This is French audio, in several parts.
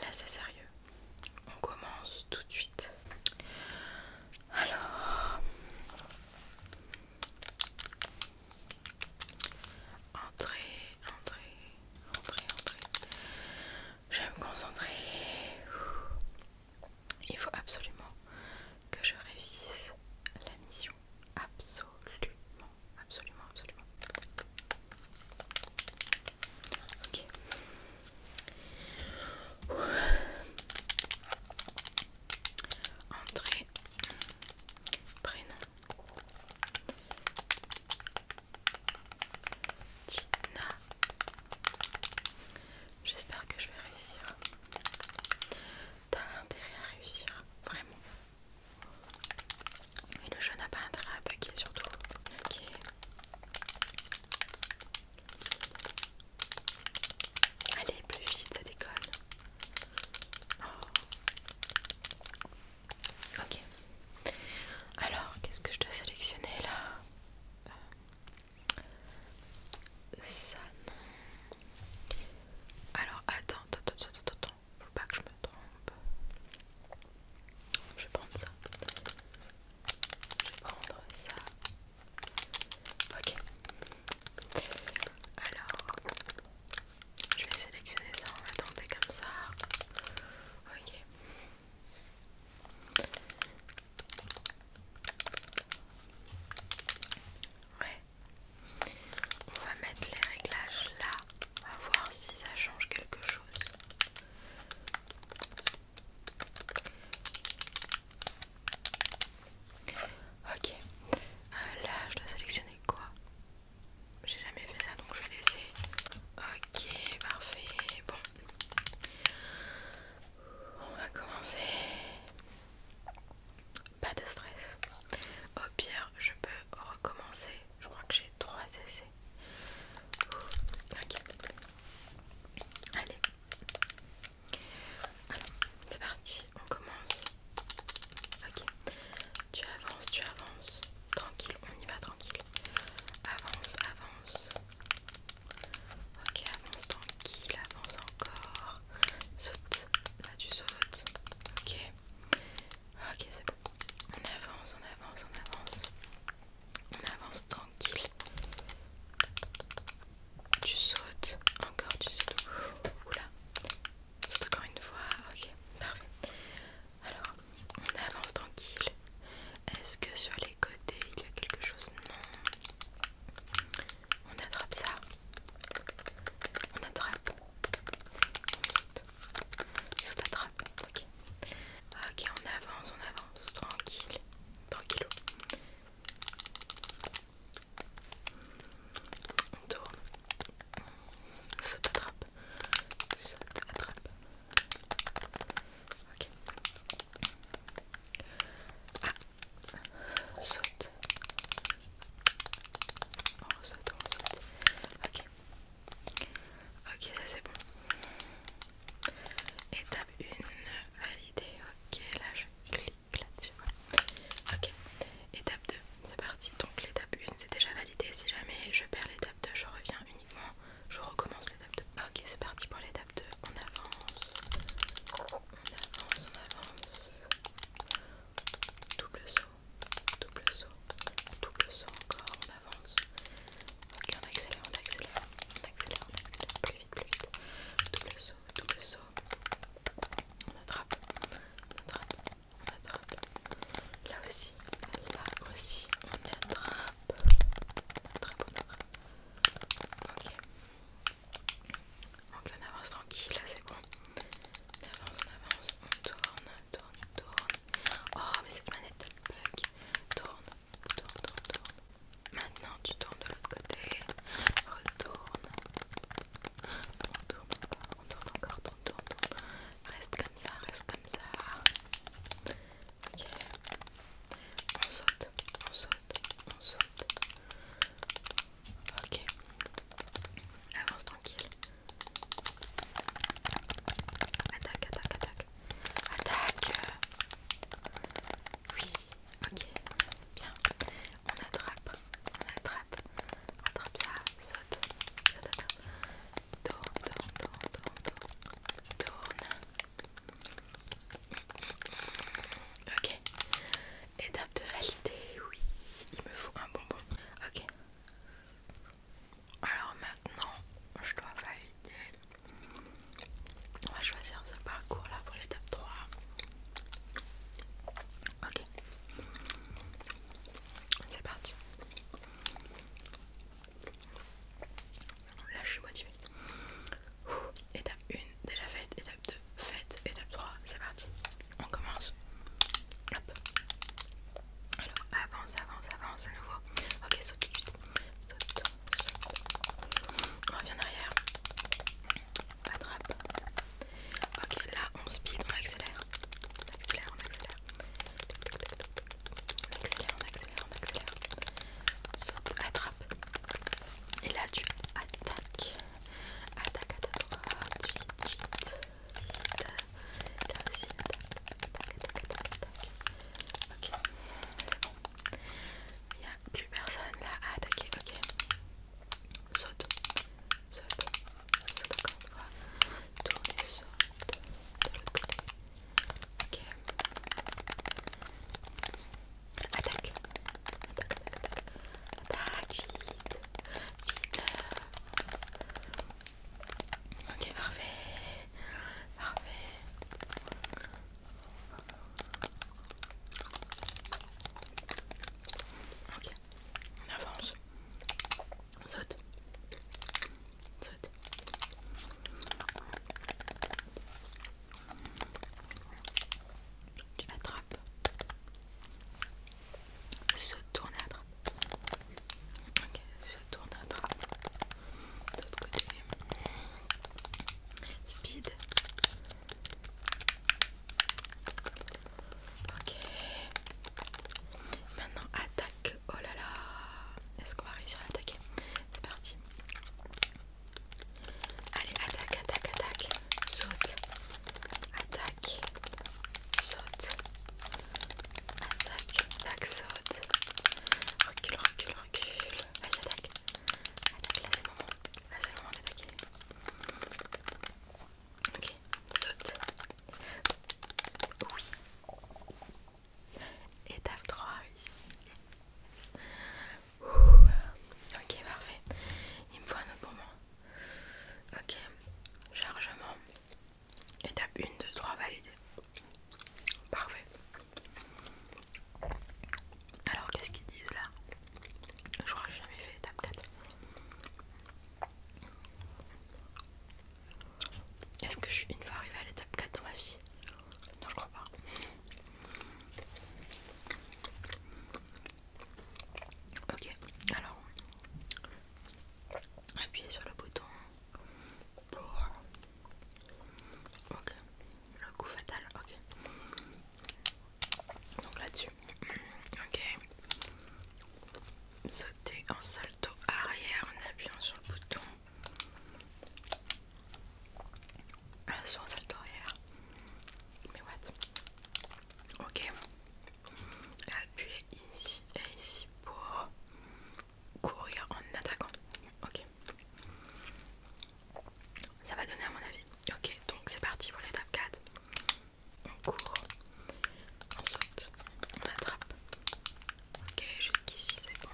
Là c'est sérieux. On commence tout de suite. Alors entrez, entrez, entrez, entrez. Je vais me concentrer. Il faut absolument que je réussisse la mission. Absolument, absolument, absolument. Ok. Entrée, prénom. Tina J'espère que je vais réussir. T'as intérêt à réussir, vraiment. Et le jeu n'a pas intérêt à paquer surtout. Ok. Allez, plus vite, ça déconne. Oh. Ok. Alors, qu'est-ce que je dois sélectionner là euh, ça non. Alors attends, attends, attends, attends, attends. Faut pas que je me trompe. Je vais prendre ça. Je vais prendre ça. Ok. Alors, je vais sélectionner ça. On va tenter comme ça. Ok. Ouais. On va mettre les réglages là. On va voir si ça change quelque chose. Ok. Euh, là, je dois sélectionner quoi J'ai jamais fait ça donc je vais laisser. Ok, parfait. Bon, on va commencer. Pas de stress. Au oh, pire, je peux recommencer. Je crois que j'ai trois essais. Ok. Allez. c'est parti. On commence. Ok. Tu avances, tu avances. Tranquille, on y va tranquille. Avance, avance. Ok, avance tranquille, avance encore. Saute, là tu sautes. Ok, ok, c'est bon. On avance, on avance, on avance. On avance tranquille. Tu sautes, encore tu sautes. Oula, saute encore une fois. Ok, parfait. Alors, on avance tranquille. Est-ce que sur les côtés il y a quelque chose Non. On attrape ça. On attrape. On saute. Saute attrape. Ok. Ok, on avance, on avance. Tranquille. Tranquillo. On tourne. Saute attrape. Saute attrape. Ok. Ah, saute. On saute on saute Ok. Ok, ça c'est bon. Étape 1, validée. Ok, là je clique là-dessus. Ok, étape 2, c'est parti. Donc l'étape 1 c'est déjà validé. Si jamais je perds l'étape 2, je reviens je recommence l'étape 2. Ok, c'est parti pour l'étape 2. On avance, on avance, on avance. Double saut, double saut, double saut encore, on avance. Ok, on accélère, on accélère, on accélère, on accélère, plus vite, plus vite. Double saut, double saut. On attrape, on attrape, on attrape. Là aussi, là aussi, on attrape. Très Ok. on avance tranquille, là c'est bon. On avance, on avance, on tourne, tourne, tourne. Oh mais cette manette elle bug. Tourne, tourne, tourne, Maintenant tu tournes de l'autre côté. Retourne. On tourne encore, on tourne encore, on tourne, tourne. Reste comme ça, reste ça. Ok. On saute, on saute, on saute. Ok. Avance tranquille. Attaque, attaque, attaque. Attaque. Oui. Ok. Bien. On attrape. On attrape. on Attrape ça. Saute. Saute, saute tourne, tourne, tourne, tourne, Ok. Étape de valider, oui. Il me faut un bonbon. Ok. Alors maintenant, je dois valider. On va choisir ce parcours là pour l'étape 3. Ok. C'est parti. Là je suis motivée. Étape 1, déjà faite. Étape 2, faite. Étape 3, c'est parti. On commence. Hop. Alors avance, avance, avance à nouveau. Ok, saute tout de suite. Saute, saute. On revient en arrière. Attrape. Ok, là on speed, on accélère on accélère, on accélère. On accélère, on accélère, accélère. Saute, attrape. Et là tu attaques. Attaque à ta Vite, vite, vite. Là aussi, attaque, attaque, attaque, attaque. Ok, c'est bon. Il a plus personne là à attaquer. Ok. Saute ça, ça d'accord, on va tourner ça de, de l'autre côté. Ok. Attaque. Attaque, attaque, attaque. Attaque, vite. Vite. Ok, parfait. Parfait. Ok, on avance. Saute. Saute. Tu attrapes Se tourne attrape. Ok, se tourne attrape. D'autre côté. Speed. Ok. Maintenant attaque. Oh là là. Est-ce qu'on va réussir à l'attaquer C'est parti. Allez, attaque, attaque, attaque. Saute. Attaque. Saute. Attaque. attaque, saute. Recule, recule, recule. Vas-y, attaque. Attaque, là c'est le moment. Là c'est le moment d'attaquer. Ok, saute. Oui. Étape 3 ici. Ok, parfait. Il me faut un autre moment. Ok, chargement. Étape 1, 2, 3, validé. Parfait. Alors qu'est-ce qu'ils disent là Je crois que j'ai jamais fait étape 4. Est-ce que je suis une fois arrivée à l'étape 4 dans ma vie Non, je crois pas. Ok, alors appuyez sur le bouton Ok, le coup fatal, ok. Donc là-dessus, Ok. Sauter en salto arrière en appuyant sur le bouton. Ah, un sur en salto arrière. Mais what? Ok. appuyer ici et ici pour courir en attaquant. Ok. Ça va donner à mon avis. Ok, donc c'est parti pour l'étape 4 on court, on saute, on attrape. Ok, jusqu'ici c'est bon.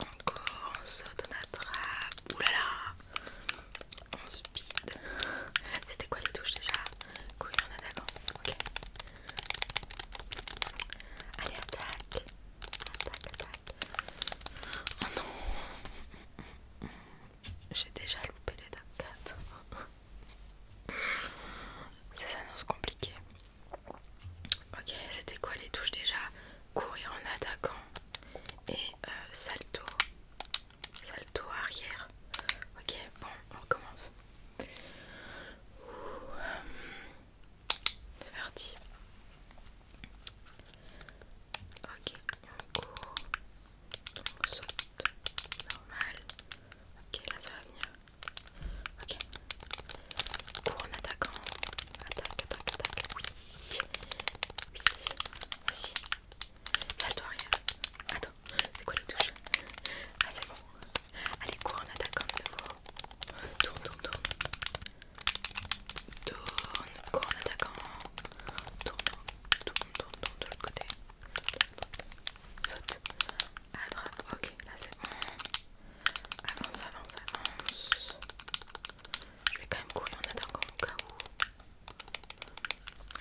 On court, on saute, on attrape. Oulala, là on speed. C'était quoi les touches déjà Couille en attaquant. Ok. Allez, attaque. Attaque, attaque. Oh non j'ai déjà loupé les l'étape 4. Ça s'annonce compliqué. Ok, c'était quoi les touches déjà Courir en attaquant et euh, salto. Salto arrière. Ok, bon, on recommence. Euh, c'est parti. Ok, on court. Donc saute, normal. Ok, là ça va venir. Ok. Cours en attaquant. Attaque, attaque, attaque. Oui. Oui. Vas-y. Salle arrière. Attends, c'est quoi les touches Ah c'est bon. Allez, cours en attaquant de nouveau. Tourne, tourne, tourne. Tourne, cours en attaquant tourne, tourne, tourne, tourne de l'autre côté, saute, attrape, ok, là c'est bon, avance, avance, avance, je vais quand même courir en attendant au cas où,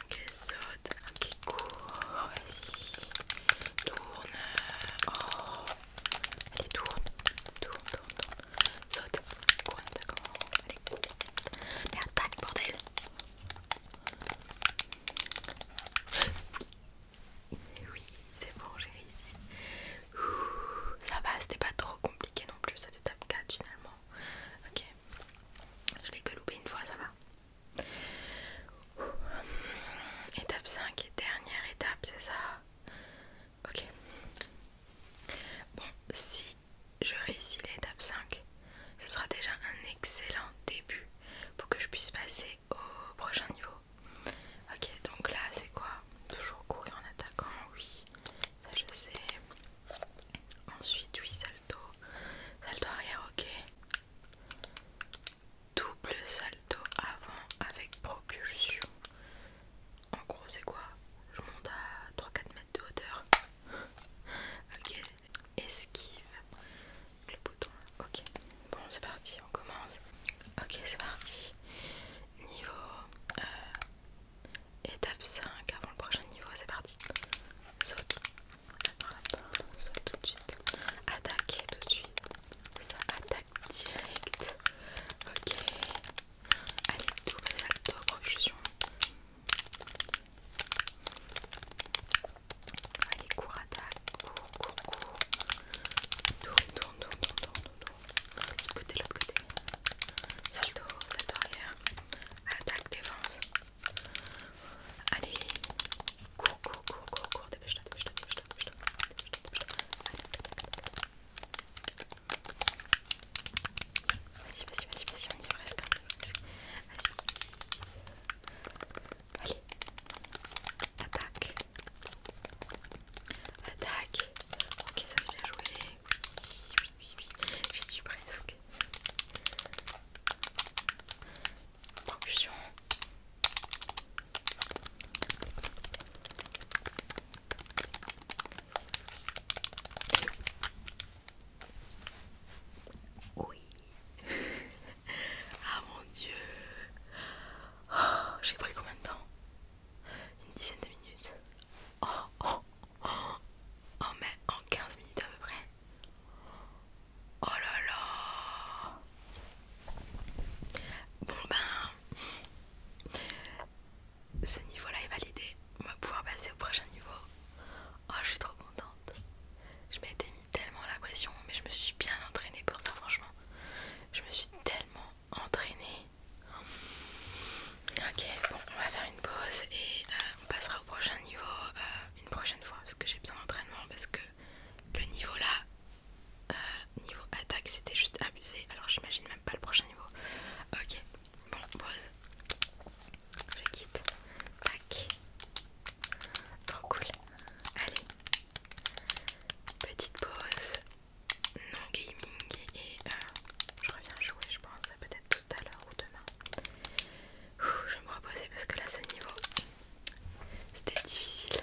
ok, saute, ok, cours, vas-y, tourne, oh, allez, tourne, tourne, tourne, tourne, saute, courne, d'accord, allez, cours, Merde, tac bordel! Eh oui, c'est bon, j'ai réussi. ça va, c'était pas trop compliqué non plus cette étape 4 finalement. Ok, je l'ai que loupé une fois, ça va. Étape 5 et dernière étape, c'est ça? Ok. Bon, si je réussis l'étape 5, ce sera déjà un excellent début pour que je puisse passer au prochain niveau. Ok, donc là c'est quoi Toujours courir en attaquant, oui, ça je sais. Ensuite, oui, salto, salto arrière, ok. Double salto avant avec propulsion. En gros, c'est quoi Je monte à 3-4 mètres de hauteur. ok, esquive le bouton. Ok, bon, c'est parti, on commence. Ok, c'est parti. Niveau euh, étape 5 avant le prochain niveau, c'est parti. Saute. Saute tout de suite. Attaque tout de suite. Ça attaque direct. Ok. Allez, double salto profusion. Allez, cours, attaque, cours, cours, cours. Tourne, tourne, tourne, l'autre côté. Salto, salto arrière. Attaque, défense. Allez, cours, cours, cours, cours, cours. dépêche Vas-y, vas-y, vas-y, vas-y, on y est presque. Vas-y. Allez. Attaque. Attaque. Ok, ça c'est bien joué. Oui, oui, oui, oui. J'y suis presque. Propulsion. Oui. Ah mon dieu. Oh, j'ai pris combien de temps Une dizaine de minutes. Oh, oh, oh. mais en 15 minutes à peu près. Oh là là. Bon ben ce niveau-là est validé, on va pouvoir passer au prochain niveau. Oh, je suis trop contente. Je m'étais mis tellement la pression, mais je me suis bien entraînée pour ça, franchement. Je me suis tellement entraînée. Ok, bon, on va faire une pause et euh, on passera au prochain niveau euh, une prochaine fois parce que j'ai besoin d'entraînement parce que le niveau là, euh, niveau attaque c'était juste abusé. Alors j'imagine même pas le prochain niveau. Ok, bon, pause. Je quitte. Tac. Trop cool. Allez. Petite pause. Non gaming. Et euh, je reviens jouer je pense peut-être tout à l'heure ou demain. je vais me reposer parce que là ce niveau c'était difficile.